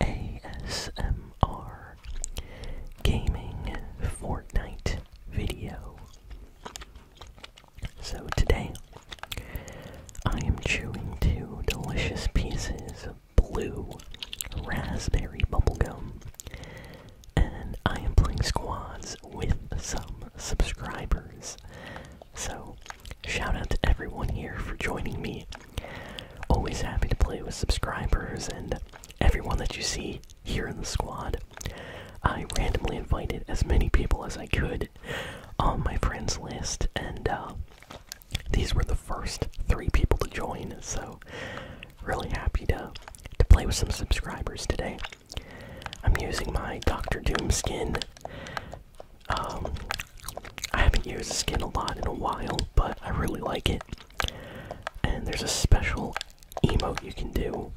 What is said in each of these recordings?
ASMR gaming Fortnite video. So today I am chewing two delicious pieces of blue raspberry bubblegum and I am playing squads with some subscribers. So shout out to everyone here for joining me Always happy to play with subscribers and everyone that you see here in the squad. I randomly invited as many people as I could on my friends list, and uh, these were the first three people to join, so really happy to, to play with some subscribers today. I'm using my Doctor Doom skin. Um, I haven't used the skin a lot in a while, but I really like it. And there's a special emote you can do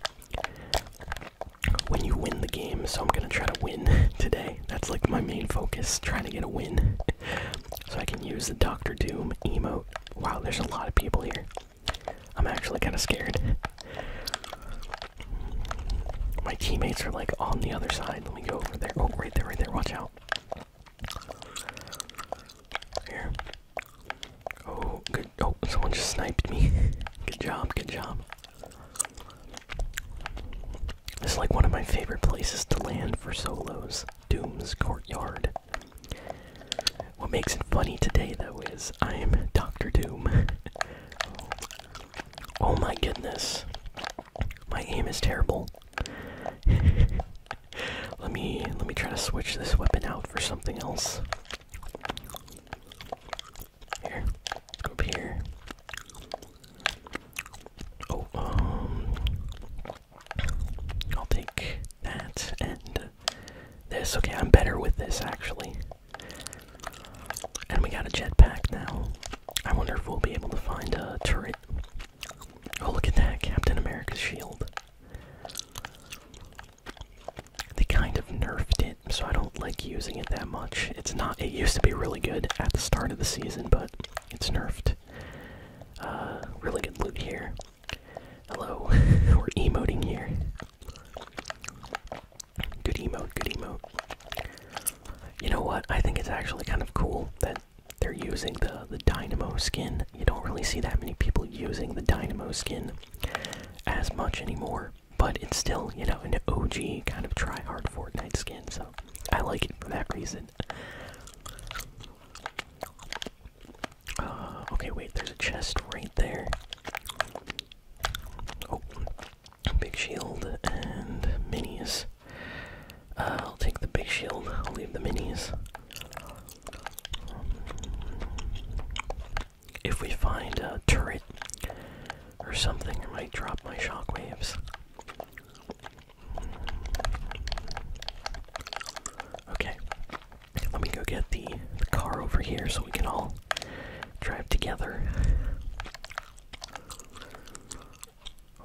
when you win the game, so I'm gonna try to win today. That's like my main focus, trying to get a win. so I can use the Doctor Doom emote. Wow, there's a lot of people here. I'm actually kinda scared. My teammates are like on the other side, me go over there. Oh, right there, right there. Watch out. Here. Oh, good. Oh, someone just sniped me. good job, good job. This is like one of my favorite places to land for solos Doom's Courtyard. What makes it funny today, though, is I am Dr. Doom. oh my goodness. My aim is terrible. let me let me try to switch this weapon out for something else. Here, let here. Oh, um, I'll take that and this. Okay, I'm better with this actually. And we got a jetpack now. I wonder if we'll be able to find a turret. Oh, look at that Captain America's shield. They kind of nerfed it, so I don't like using it that much. It's not, it used to be really good at the start of the season, but it's nerfed. Uh, really good loot here. Hello, we're emoting here. Good emote, good emote. You know what? I think it's actually kind of cool that they're using the the Dynamo skin. You don't really see that many people using the Dynamo skin as much anymore, but it's still, you know, an OG kind of try-hard Fortnite skin, so I like it for that reason. Uh, okay, wait, there's a chest right there. Oh, Big shield and minis. Uh, I'll take the big shield, I'll leave the minis. Um, if we find a turret or something, I might drop my shockwaves. Okay, let me go get the car over here so we can all drive together.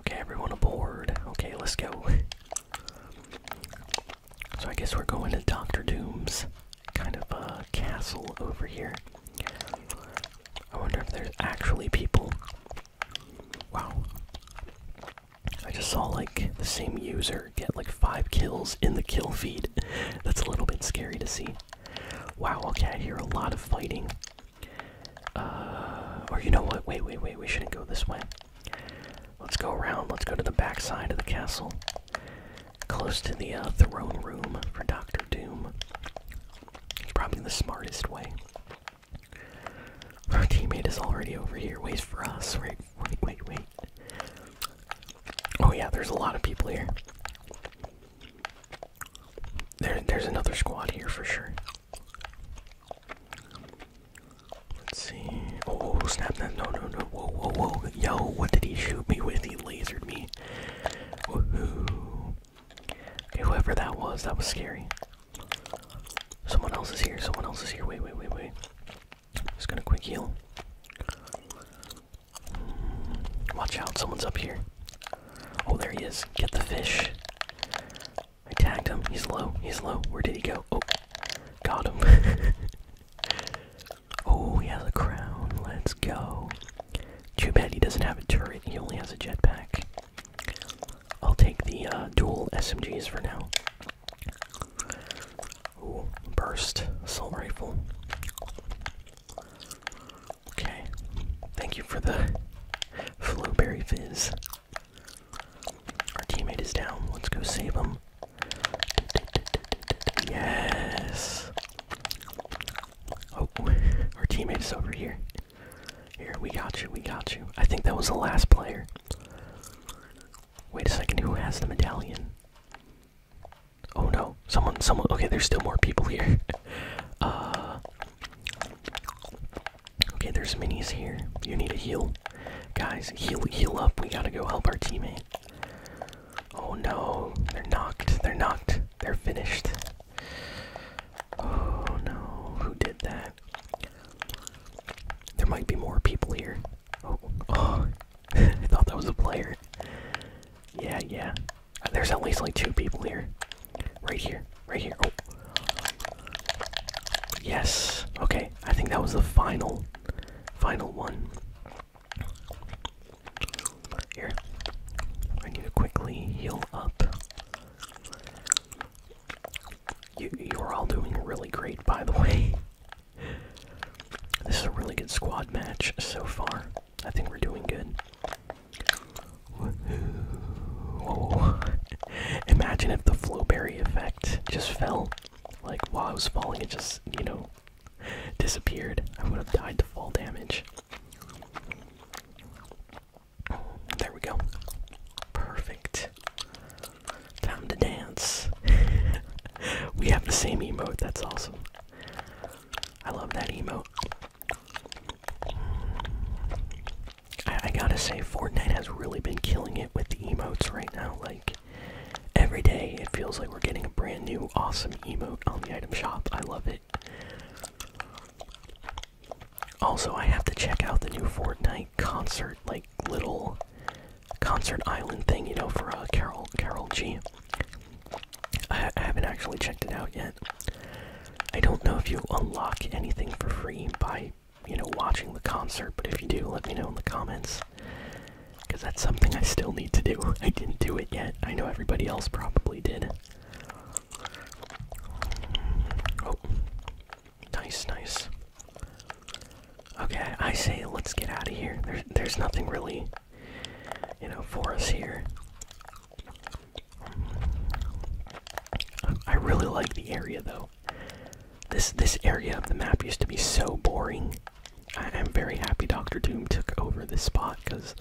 Okay, everyone aboard. Okay, let's go. So I guess we're going to Doctor Doom's kind of a uh, castle over here. I wonder if there's actually people. Wow. I just saw like the same user get like five kills in the kill feed. That's a little bit scary to see. Wow, okay, I hear a lot of fighting. Uh, or you know what? Wait, wait, wait, we shouldn't go this way. Let's go around, let's go to the back side of the castle. Close to the uh, throne room for Doctor Doom. It's probably the smartest way. Our teammate is already over here. Wait for us. Wait, wait, wait, wait. Oh yeah, there's a lot of people here. There, there's another squad here for sure. Let's see. Oh, oh, oh snap that. No, no, no. Whoa, whoa, whoa. Yo, what did he shoot me with? He lasered me. Woohoo. Okay, whoever that was, that was scary. Someone else is here. Someone else is here. Wait, wait, wait, wait. Just gonna quick heal. Watch out, someone's up here. Oh, there he is. Get the fish. I tagged him. He's low. He's low. Where did he go? Oh, got him. oh, he has a crown. Let's go. Too bad he doesn't have a turret. He only has a jetpack. I'll take the uh, dual SMGs for now. burst assault rifle. Okay. Thank you for the Flowberry Fizz. Our teammate is down. Let's go save him. Yes. Oh, our teammate is over here. Here, we got you, we got you. I think that was the last player. Wait a second, who has the medallion? Oh no, someone, someone. Okay, there's still more people here. uh, okay, there's minis here. You need to heal, guys. Heal, heal up. We gotta go help our teammate. Oh no, they're knocked. They're knocked. They're finished. Oh no, who did that? There might be more people here. Oh, oh. I thought that was a player. Yeah, yeah. There's at least like two people here. Right here. Right here. Oh. Yes. Okay. I think that was the final final one. Here. I need to quickly heal up. You you're all doing really great by the way. This is a really good squad match so far. I think we're doing good. Whoa. Imagine if the flowberry effect just fell. Like while I was falling, it just, you know, disappeared. I would have died to fall damage. There we go. Perfect. Time to dance. we have the same emote, that's awesome. I love that emo. I, I gotta say, Fortnite has really been killing it with the emotes right now. Like, every day it feels like we're getting a brand new awesome emote on the item shop. I love it. Also, I have to check out the new Fortnite concert, like, little concert island thing, you know, for uh, Carol Carol G. I, I haven't actually checked it out yet. I don't know if you unlock anything for free by, you know, watching the concert, but if you do, let me know in the comments. Because that's something I still need to do. I didn't do it yet. I know everybody else probably did. Oh. Nice, nice. Okay, I say let's get out of here. There's, there's nothing really, you know, for us here. I really like the area though. This this area of the map used to be so boring. I am very happy Doctor Doom took over this spot because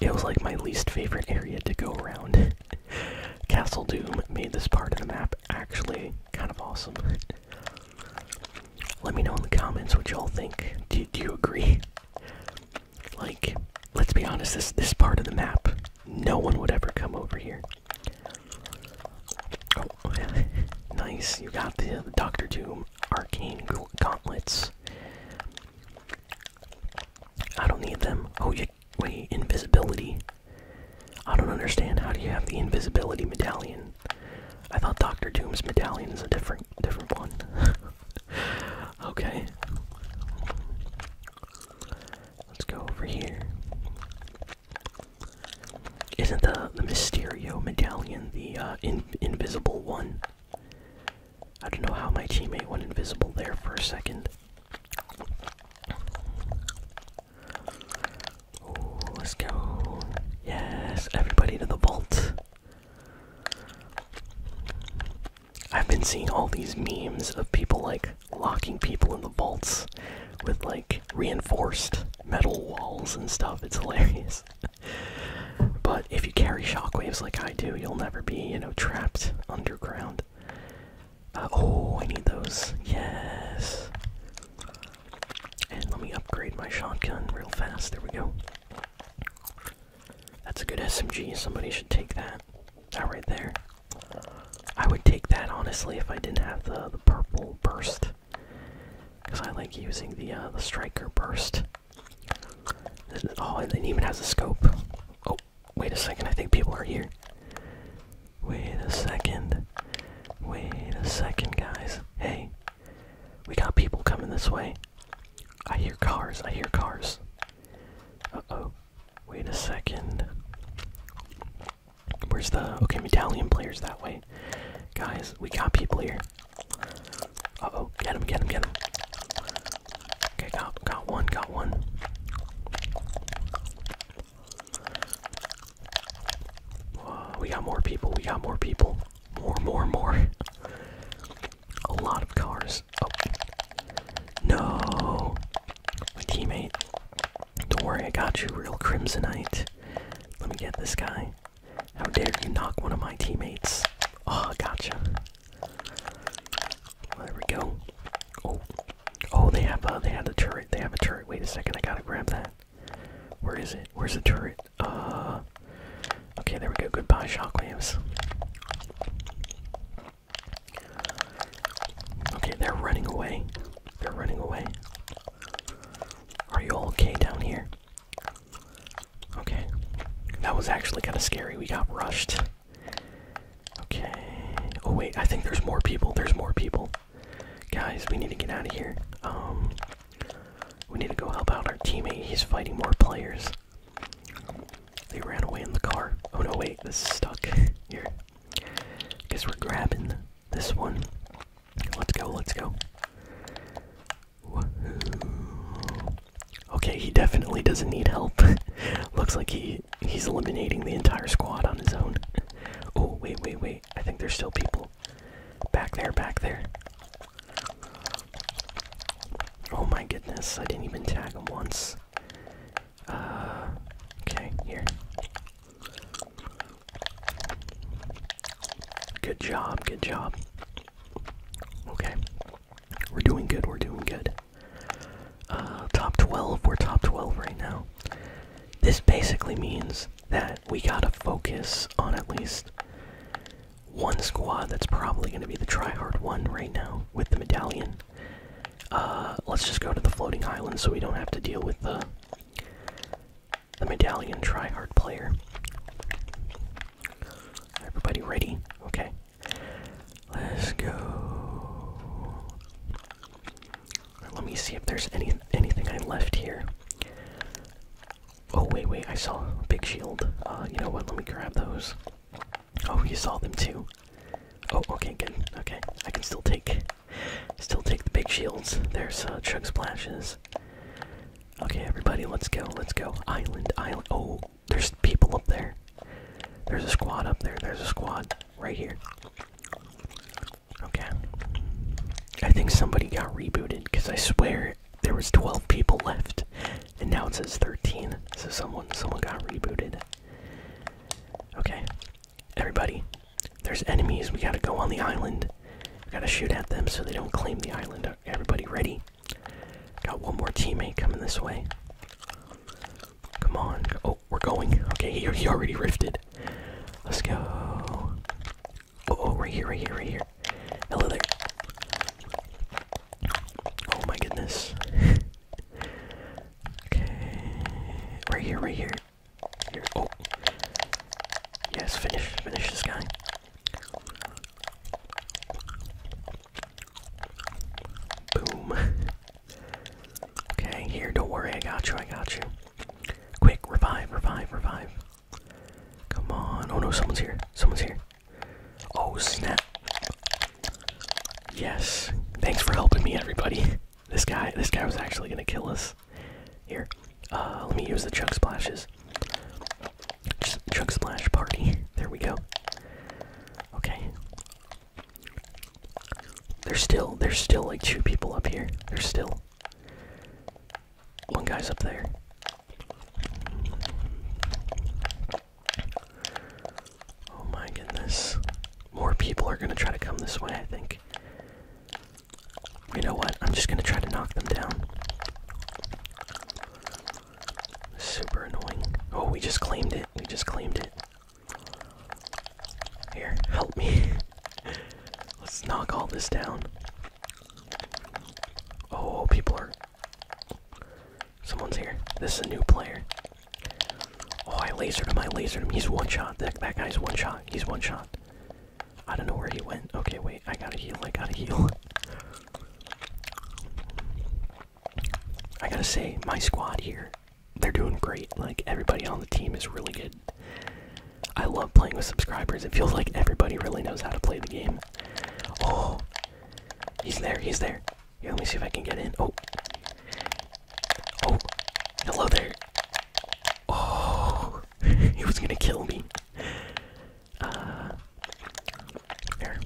it was like my least favorite area to go around. Castle Doom made this part of the map actually kind of awesome. Let me know in the comments what y'all think. Do, you agree? Like, let's be honest, this this part of the map, no one would ever come over here. Oh, nice. You got the, the Doctor Doom arcane gauntlets. I don't need them. Oh, you wait, invisibility. I don't understand. How do you have the invisibility medallion? I thought Doctor Doom's medallion is a different different one. okay. Let's go over here. Isn't the the Mysterio medallion the uh, in invisible one? I don't know how my teammate went invisible there for a second let's go. Yes, everybody to the vault. I've been seeing all these memes of people like locking people in the vaults with like reinforced metal walls and stuff. It's hilarious. but if you carry shockwaves like I do, you'll never be, you know, trapped underground. Uh, oh, I need those. Yes. And let me upgrade my shotgun real fast. There we go. That's a good SMG. Somebody should take that. That right there. I would take that honestly if I didn't have the the purple burst, because I like using the uh, the striker burst. Oh, and it even has a scope. Oh, wait a second. I think people are here. Wait a second. Wait a second, guys. Hey, we got people coming this way. I hear cars. I hear cars. Uh oh. Wait a second. Where's the. Okay, Medalion player's that way. Guys, we got people here. Uh oh. Get him, get him, get him. Okay, got, got one, got one we got more people. We got more people. More, more, more. A lot of cars. Oh. No. My teammate. Don't worry, I got you, real Crimsonite. Let me get this guy. How dare you knock one of my teammates? Oh, gotcha. There we go. Oh, oh, they have uh, they have a turret. They have a turret. Wait a second, I gotta grab that. Where is it? Where's the turret? Uh, okay, there we go. Goodbye, shockwaves. Okay, they're running away. They're running away. Are you all okay down here? Okay. That was actually kind of scary. We got rushed. Okay. Oh, wait. I think there's more people. There's more people. Guys, we need to get out of here. Um, we need to go help out our teammate. He's fighting more players. They ran away in the car. Oh no, wait, this is stuck. Here. Guess we're grabbing this one. Let's go, let's go. Okay, he definitely doesn't need help. Looks like he he's eliminating the entire squad on his own. Oh, wait, wait, wait. I think there's still people back there, back there. Oh my goodness, I didn't even tag him once. Uh, okay, here. Good job, good job. Okay. We're doing good, we're doing good. Uh, top 12. We're top 12 right now. This basically means that we gotta focus on at least one squad that's probably gonna be the tryhard one right now with the medallion. Uh, let's just go to the floating island so we don't have to deal with the the medallion tryhard player. Everybody ready? Okay. Let's go. Let me see if there's any anything I left here. Oh wait, wait, I saw a big shield. Uh, you know what? Let me grab those. Oh, you saw them too. Oh, okay, good. Okay, I can still take, still take the big shields. There's uh, chunks splashes. Okay, everybody, let's go, let's go. Island, island. Oh, there's people up there. There's a squad up there. There's a squad right here. Okay. I think somebody got rebooted because I swear there was 12 people left and now it says 13. So someone someone got rebooted. Okay. Everybody, there's enemies. We gotta go on the island. gotta shoot at them so they don't claim the island. Everybody ready? Got one more teammate coming this way. Come on. Oh, we're going. Okay, he, already rifted. Let's go. Oh, oh, right here, right here, right here. Hello there. Oh my goodness. okay. Right here, right here. Here. Oh. Yes, finish, finish this guy. Boom. Okay, here, don't worry, I got you, I got you. Quick, revive, revive, revive. Come on. Oh no, someone's here. Someone's here. Oh snap. Yes. Thanks for helping me, everybody. This guy, this guy was actually gonna kill us. Here, uh, let me use the chug splashes. Just splash party. There we go. Okay. There's still, there's still like two people up here. There's still. One guy's up there. Oh my goodness. More people are gonna try to come this way, I think. You know what? I'm just gonna try to knock them down. Super annoying. Oh, we just claimed it. We just claimed it. Here, help me. Let's knock all this down. Oh, people are. Someone's here. This is a new player. Oh, I lasered him. I lasered him. He's one shot. That, that guy's one shot. He's one shot. I don't know where he went. Okay, wait. I gotta heal. I gotta heal. I gotta say, my squad here, they're doing great. Like, everybody on the team is really good. I love playing with subscribers. It feels like everybody really knows how to play the game. Oh, he's there, he's there. let me see if I can get in. Oh, oh, hello there. Oh, he was gonna kill me. Uh, there.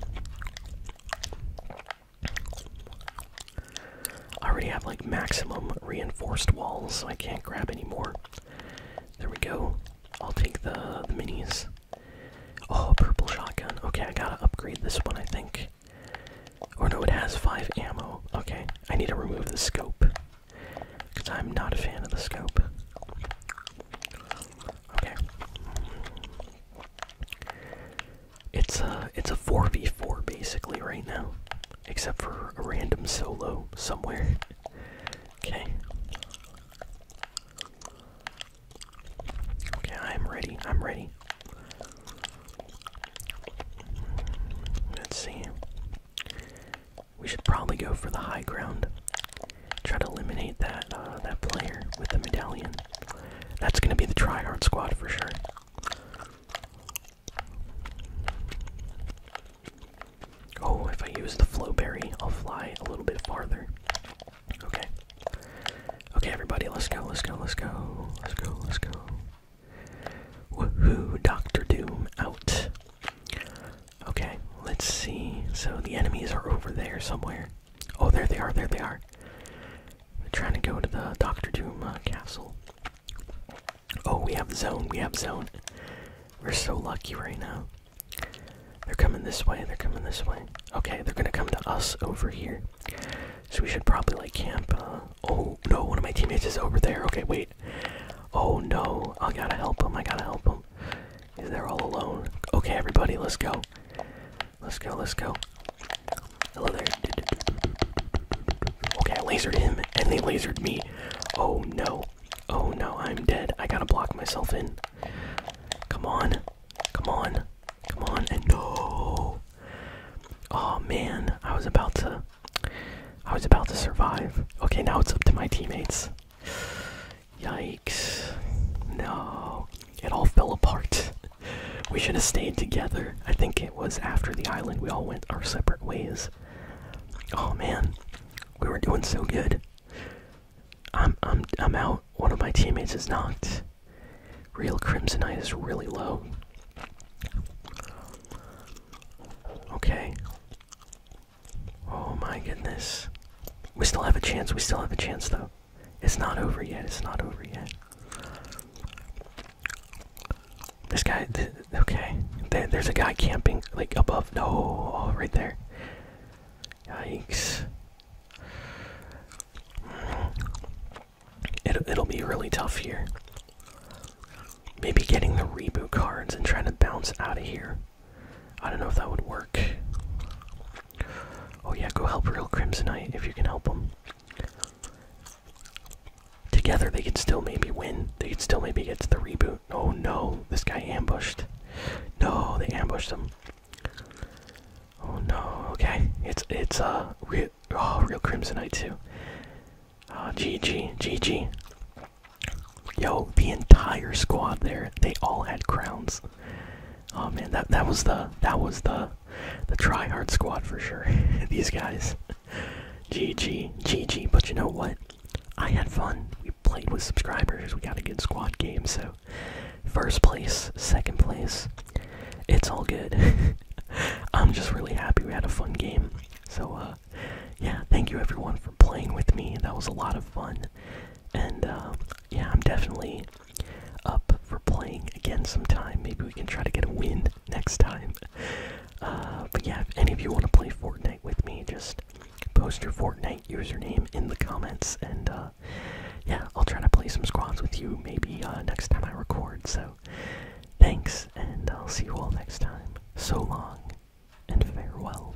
I already have like maximum reinforced walls, so I can't grab anymore. There we go. I'll take the, minis. Oh, purple shotgun. Okay, I gotta upgrade this one, I think. Or oh, no, it has five ammo. Okay, I need to remove the scope. Because I'm not a fan of the scope. Okay. It's a it's a four v four basically right now, except for a random solo somewhere. Okay. Okay, I'm ready. I'm ready. Let's see. We should probably go for the high ground. Try to eliminate that uh, that player with the medallion. That's gonna be the tryhard squad for sure. Oh, if I use the flow berry, I'll fly a little bit farther. Okay. Okay, everybody, let's go, let's go, let's go, let's go, let's go. Woohoo, Doctor Doom out. Okay, let's see. So the enemies are over there somewhere. Oh, there they are, there they are. They're trying to go to the Doctor Doom uh, castle. Oh, we have zone, we have zone. We're so lucky right now. They're coming this way, they're coming this way. Okay, they're gonna come to us over here. So we should probably like camp. Uh, oh no, one of my teammates is over there. Okay, wait. Oh no, I gotta help him, I gotta help him. They're all alone. Okay, everybody, let's go. Let's go, let's go. Hello there. Okay, I lasered him and they lasered me. Oh no. Oh no, I'm dead. I gotta block myself in. Come on. Come on. Come on. And no. Oh man, I was about to. I was about to survive. Okay, now it's up to my teammates. Yikes. No. It all fell apart. we should have stayed together. I think it was after the island we all went our separate ways. Oh man. We were doing so good. I'm I'm I'm out. One of my teammates is knocked. Real Crimsonite is really low. Okay. Oh my goodness. We still have a chance. We still have a chance though. It's not over yet. It's not over yet. This guy. okay. there's a guy camping like above. No, oh, right there. Yikes. it'll be really tough here. Maybe getting the reboot cards and trying to bounce out of here I don't know if that would work. Oh yeah, go help Real Crimsonite if you can help them. Together they could still maybe win. They could still maybe get to the reboot. Oh no, this guy ambushed. No, they ambushed him. Oh no, okay. It's it's uh real oh, real Crimsonite too. Uh ah, GG, GG. Yo, the entire squad there, they all had crowns. Oh man, that that was the that was the the try hard squad for sure. These guys. GG, GG. But you know what? I had fun. We played with subscribers. We got a good squad game. So first place, second place. It's all good. I'm just really happy we had a fun game. So uh, yeah, thank you everyone for playing with me. That was a lot of fun. And uh, yeah, I'm definitely up for playing again sometime. Maybe we can try to get a win next time. Uh, but yeah, if any of you want to play Fortnite with me, just post your Fortnite username in the comments, and uh, yeah, I'll try to play some squads with you maybe next time I record. So thanks, and I'll see you all next time. So long, and farewell.